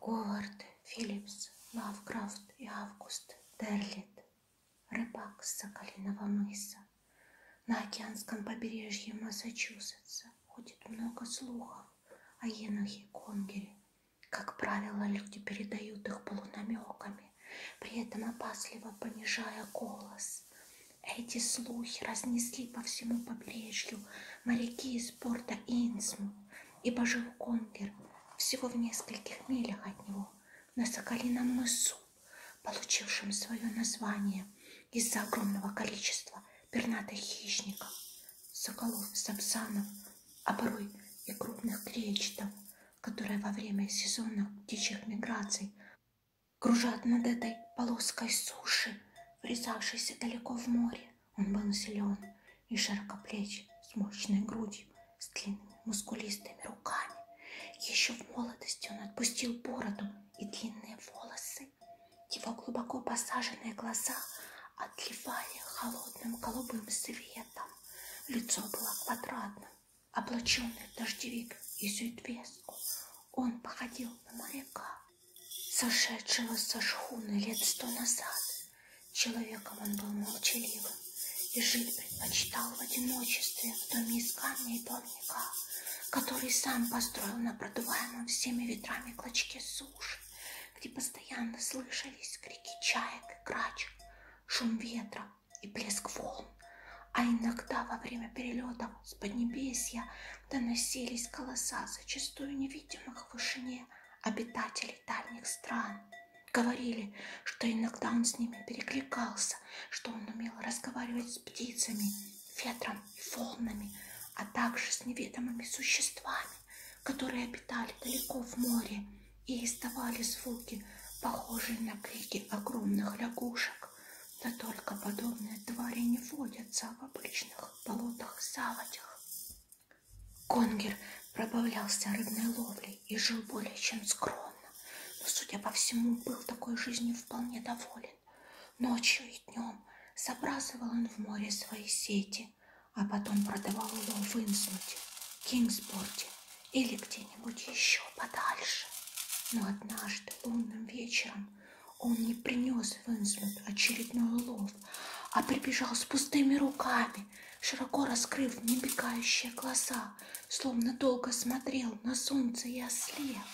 Говард, Филлипс, Лавкрафт и Август, Терлит, рыбак с Соколиного мыса. На океанском побережье Массачусетса ходит много слухов о а енохе и конгере. Как правило, люди передают их полунамеками, при этом опасливо понижая голос. Эти слухи разнесли по всему побережью моряки из порта Инсму, ибо жил Конгер всего в нескольких милях от него, на Соколином мысу, получившем свое название из-за огромного количества пернатых хищников, соколов, сапсанов, а порой и крупных кречетов, которые во время сезона птичьих миграций кружат над этой полоской суши, врезавшейся далеко в море. Он был силен и широкоплеч, с мощной грудью, с длинными мускулистыми руками. Еще в молодости он отпустил бороду и длинные волосы, его глубоко посаженные глаза отливали холодным голубым светом. Лицо было квадратным, облаченный в дождевик и зюдвеску. Он походил на моряка, сошедшего со шхуны лет сто назад. Человеком он был молчаливым и жить предпочитал в одиночестве в доме из камня и плавника, который сам построил на продуваемом всеми ветрами клочке суши где постоянно слышались крики чаек и крач, шум ветра и плеск волн. А иногда во время перелетов с Поднебесья доносились голоса зачастую невидимых в вышине обитателей дальних стран. Говорили, что иногда он с ними перекликался, что он умел разговаривать с птицами, ветром и волнами, а также с неведомыми существами которые обитали далеко в море и издавали звуки, похожие на крики огромных лягушек. Да только подобные твари не водятся в обычных болотах-заводях. Конгер пробавлялся рыбной ловлей и жил более чем скромно, но, судя по всему, был такой жизнью вполне доволен. Ночью и днем днем забрасывал он в море свои сети, а потом продавал улов в Инсмуте, Кингсборде или где-нибудь еще подальше. Но однажды лунным вечером он не принес в Инсмут очередной улов, а прибежал с пустыми руками, широко раскрыв небегающие глаза, словно долго смотрел на солнце и ослеп.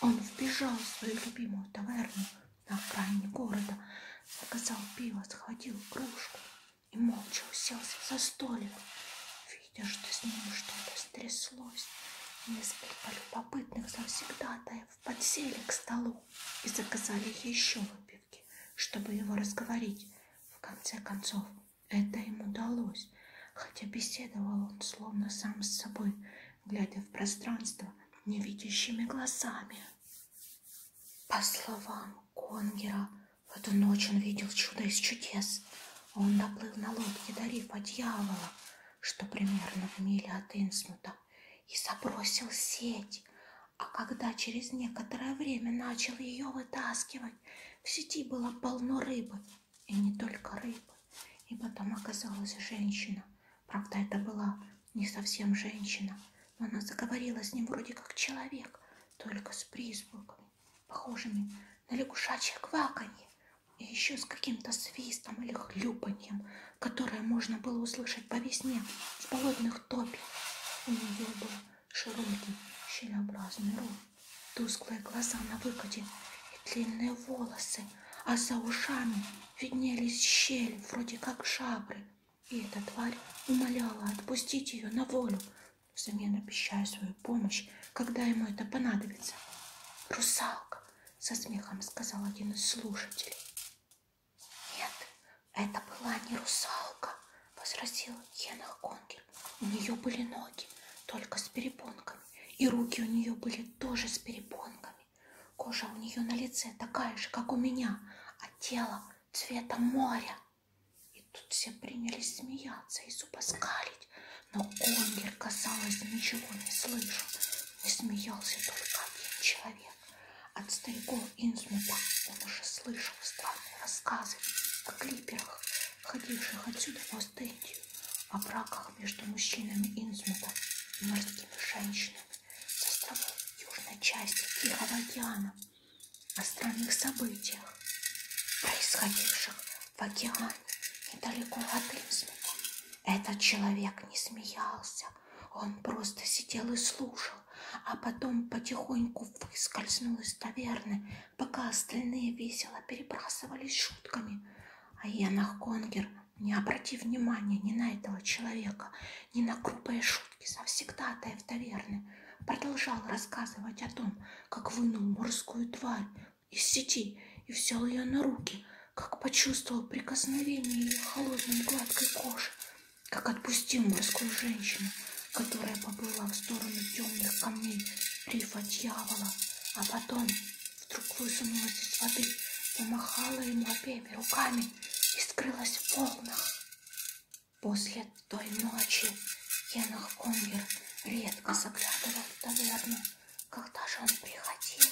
Он вбежал в свою любимую таверну, на окраине города, заказал пиво, схватил кружку и молча уселся за столик. Видя, что с ним что-то стряслось, несколько любопытных завсегдатаев подсели к столу и заказали еще выпивки, чтобы его разговорить. В конце концов, это им удалось, хотя беседовал он словно сам с собой, глядя в пространство невидящими глазами. По словам Конгера, в эту ночь он видел чудо из чудес. Он доплыл на лодке до рифа дьявола, что примерно в миле от Инсмута, и забросил сеть. А когда через некоторое время начал ее вытаскивать, в сети было полно рыбы, и не только рыбы, ибо там оказалась женщина. Правда, это была не совсем женщина. Она заговорила с ним вроде как человек, только с призбуками, похожими на лягушачье кваканье и еще с каким-то свистом или хлюпаньем, которое можно было услышать по весне в болотных топе. У нее был широкий, щелеобразный рот, тусклые глаза на выкате и длинные волосы, а за ушами виднелись щели, вроде как жабры, и эта тварь умоляла отпустить ее на волю, взамен обещая свою помощь, когда ему это понадобится. «Русалка!» — со смехом сказал один из слушателей. «Нет, это была не русалка!» — возразил Енах Конгель. «У нее были ноги, только с перепонками, и руки у нее были тоже с перепонками глазами. Кожа у нее на лице такая же, как у меня, а тело цвета моря. И тут все принялись смеяться и зубоскалить, но Онгер, казалось, ничего не слышал. Не смеялся только один человек. От стариков Инсмута он уже слышал странные рассказы о клиперах, ходивших отсюда в Остендию, о браках между мужчинами Инсмута и морскими женщинами с островов южной части Тихого океана, о странных событиях, происходивших в океане недалеко от Инсмита. Этот человек не смеялся, он просто сидел и слушал, а потом потихоньку выскользнул из таверны, пока остальные весело перебрасывались шутками. А Янах Конгер не обрати внимания ни на этого человека, ни на грубые шутки совсегдатаев таверны. Продолжал рассказывать о том, как вынул морскую тварь из сети и взял ее на руки, как почувствовал прикосновение ее холодной гладкой кожи, как отпустил морскую женщину, которая поплыла в сторону темных камней рифа дьявола, а потом вдруг высунулась из воды, помахала ему обеими руками и скрылась в волнах. После той ночи Енах Конгер редко заглядывал в таверну. Когда же он приходил,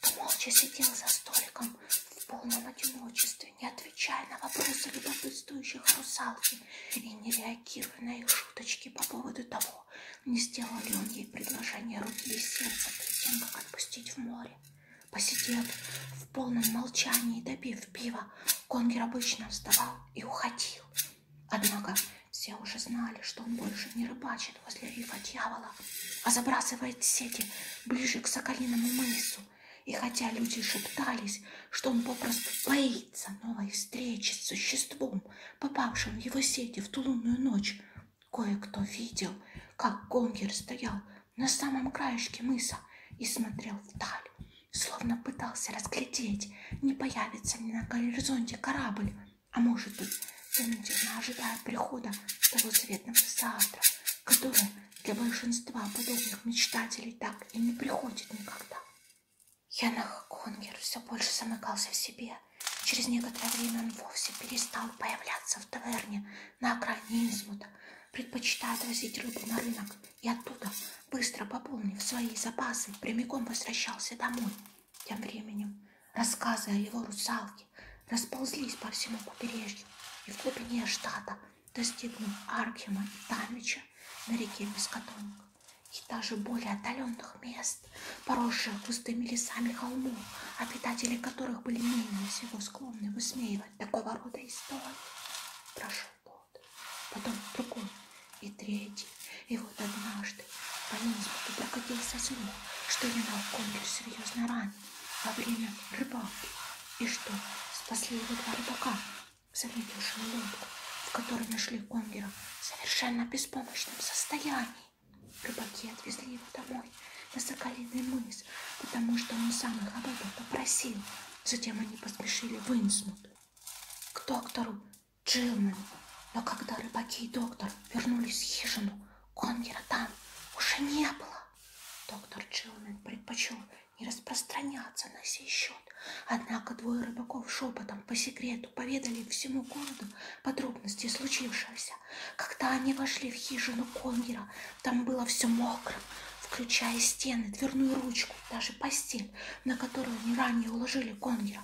то молча сидел за столиком в полном одиночестве, не отвечая на вопросы любопытствующих русалки и не реагируя на их шуточки по поводу того, не сделал ли он ей предложение руки и сердца перед тем, как отпустить в море посидев в полном молчании, допив пива, Конгер обычно вставал и уходил. Однако все уже знали, что он больше не рыбачит возле рифа дьявола, а забрасывает сети ближе к Соколиному мысу. И хотя люди шептались, что он попросту боится новой встречи с существом, попавшим в его сети в тулунную ночь, кое-кто видел, как Конгер стоял на самом краешке мыса и смотрел вдаль, словно пытался разглядеть, не появится ли на горизонте корабль, а может быть, замедленно ожидая прихода того заветного завтра, которое для большинства подобных мечтателей так и не приходит никогда. Янах Конгер все больше замыкался в себе. Через некоторое время он вовсе перестал появляться в таверне, на окраине Инсмута, предпочитают возить рыбу на рынок и оттуда, быстро пополнив свои запасы, прямиком возвращался домой. Тем временем рассказы о его русалке расползлись по всему побережью и в глубине штата, достигнув Архема и Тамича на реке Бескотонг и даже более отдаленных мест, поросших густыми лесами холмов, обитатели которых были менее всего склонны высмеивать такого рода истории. Прошел год, потом другой и третий. И вот однажды по Инсбруку прокатился слух, что Янал Конгель серьезно ранен во время рыбалки. И что спасли его два рыбака, заметившие лодку, в которой нашли Конгера в совершенно беспомощном состоянии. Рыбаки отвезли его домой, на Соколиный мыс, потому что он сам их об этом попросил. Затем они поспешили в Инсмут, к доктору Джилмену. Но когда рыбаки и доктор вернулись в хижину, Конгера там уже не было. Доктор Джилмен предпочел не распространяться на сей счет. Однако двое рыбаков шепотом по секрету поведали всему городу подробности случившегося. Когда они вошли в хижину Конгера, там было все мокро, включая стены, дверную ручку, даже постель, на которую не ранее уложили Конгера.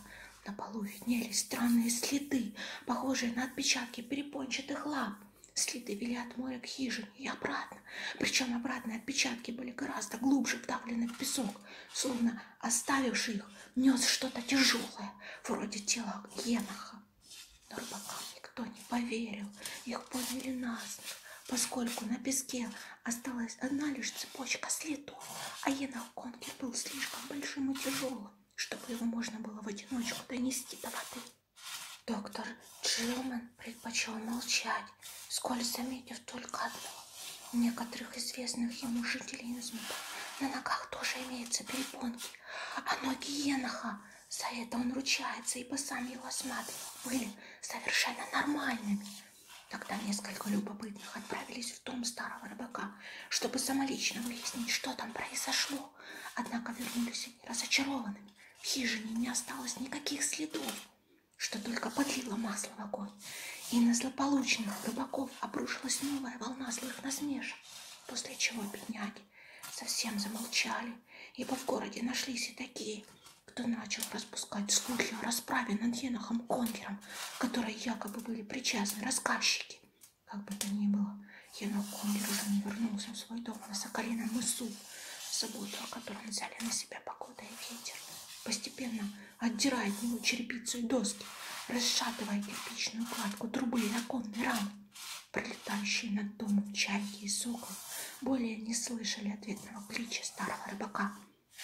На полу виднелись странные следы, похожие на отпечатки перепончатых лап. Следы вели от моря к хижине и обратно. Причем обратные отпечатки были гораздо глубже вдавлены в песок, словно оставивший их нес что-то тяжелое, вроде тела Еноха. Но рыбакам никто не поверил, их подняли насмех, поскольку на песке осталась одна лишь цепочка следов, а енохонки был слишком большим и тяжелым, чтобы его можно было в одиночку донести до воды. Доктор Джилман предпочел молчать, сколь заметив только одно. У некоторых известных ему жителей Инсмута на ногах тоже имеются перепонки, а ноги еноха – за это он ручается, ибо сам его осматривал. Были совершенно нормальными. Тогда несколько любопытных отправились в дом старого рыбака, чтобы самолично выяснить, что там произошло. Однако вернулись они разочарованными. В хижине не осталось никаких следов, что только подлило масло в огонь. И на злополучных рыбаков обрушилась новая волна злых насмешек, после чего бедняги совсем замолчали, ибо в городе нашлись и такие, кто начал распускать слухи о расправе над Енохом Конгером, которые якобы были причастны рассказчики. Как бы то ни было, Енох Конгер уже не вернулся в свой дом на Соколином мысу, заботу о котором взяли на себя погода и ветер. Постепенно отдирая от него черепицу и доски, расшатывая кирпичную кладку трубы и оконной рамы, Пролетающие над домом чайки и сокол более не слышали ответного клича старого рыбака,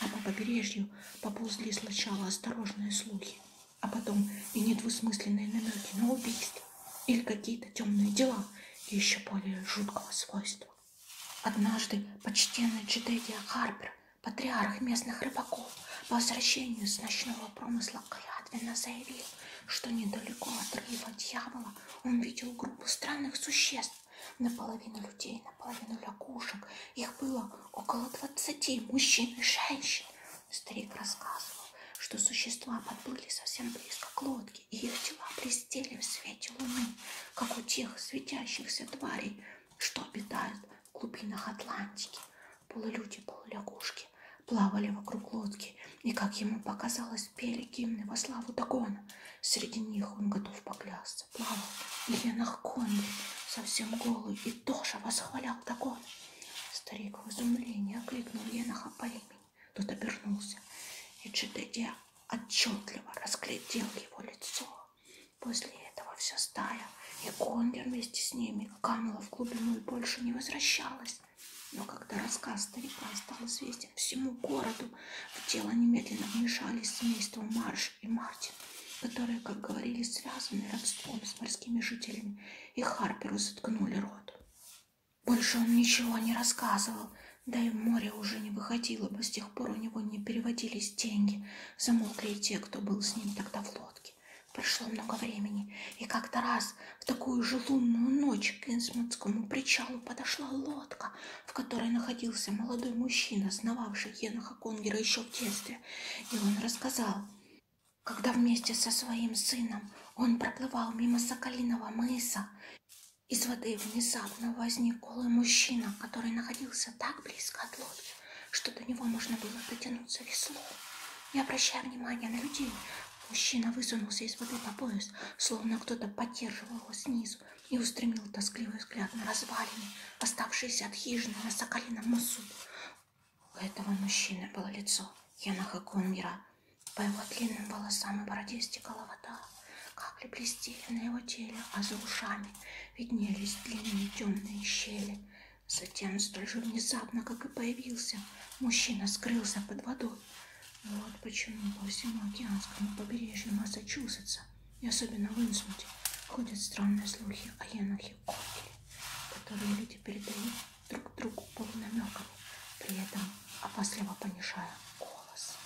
а по побережью поползли сначала осторожные слухи, а потом и недвусмысленные намеки на убийство или какие-то темные дела еще более жуткого свойства. Однажды почтенный Джедедия Харпер, патриарх местных рыбаков, по возвращению с ночного промысла Каяна, клятвенно заявил, что недалеко от рыба дьявола он видел группу странных существ, наполовину людей, наполовину лягушек. Их было около двадцати мужчин и женщин. Старик рассказывал, что существа подплыли совсем близко к лодке, и их тела блестели в свете луны, как у тех светящихся тварей, что обитают в глубинах Атлантики. Полулюди, полулягушки лодки, плавали вокруг лодки, и, как ему показалось, пели гимны во славу Дагона. Среди них он готов поклясться, плавал в енах конги, совсем голый, и тоже восхвалял Дагона. Старик в изумлении окликнул еноха по имени. Тот обернулся, и Чедедя отчетливо разглядел его лицо. После этого вся стая, и Конга вместе с ними канула в глубину и больше не возвращалась. Но когда рассказ старика стал известен всему городу, в дело немедленно вмешались семейство Марш и Мартин, которые, как говорили, связаны родством с морскими жителями, и Харперу заткнули рот. Больше он ничего не рассказывал, да и в море уже не выходило бы, с тех пор у него не переводились деньги, замолкли и те, кто был с ним тогда в лодке. Прошло много времени, и как-то раз в такую же лунную ночь к Инсмутскому причалу подошла лодка, в которой находился молодой мужчина, сновавший Еноха Конгера еще в детстве. И он рассказал, когда вместе со своим сыном он проплывал мимо Соколиного мыса, из воды внезапно возник голый мужчина, который находился так близко от лодки, что до него можно было дотянуться веслом. Не обращая внимания на людей, Мужчина высунулся из воды по пояс, словно кто-то поддерживал его снизу, и устремил тоскливый взгляд на развалины, оставшиеся от хижины на соколином мысу. У этого мужчины было лицо Янаха Кунгера. По его длинным волосам и бороде стекала вода. Капли блестели на его теле, а за ушами виднелись длинные темные щели. Затем, столь же внезапно, как и появился, мужчина скрылся под водой, вот почему по всему океанскому побережью Массачусетса и особенно в Инсмуте ходят странные слухи о Енохе Кокеле, которые люди передают друг другу полунамеками, при этом опасливо понижая голос.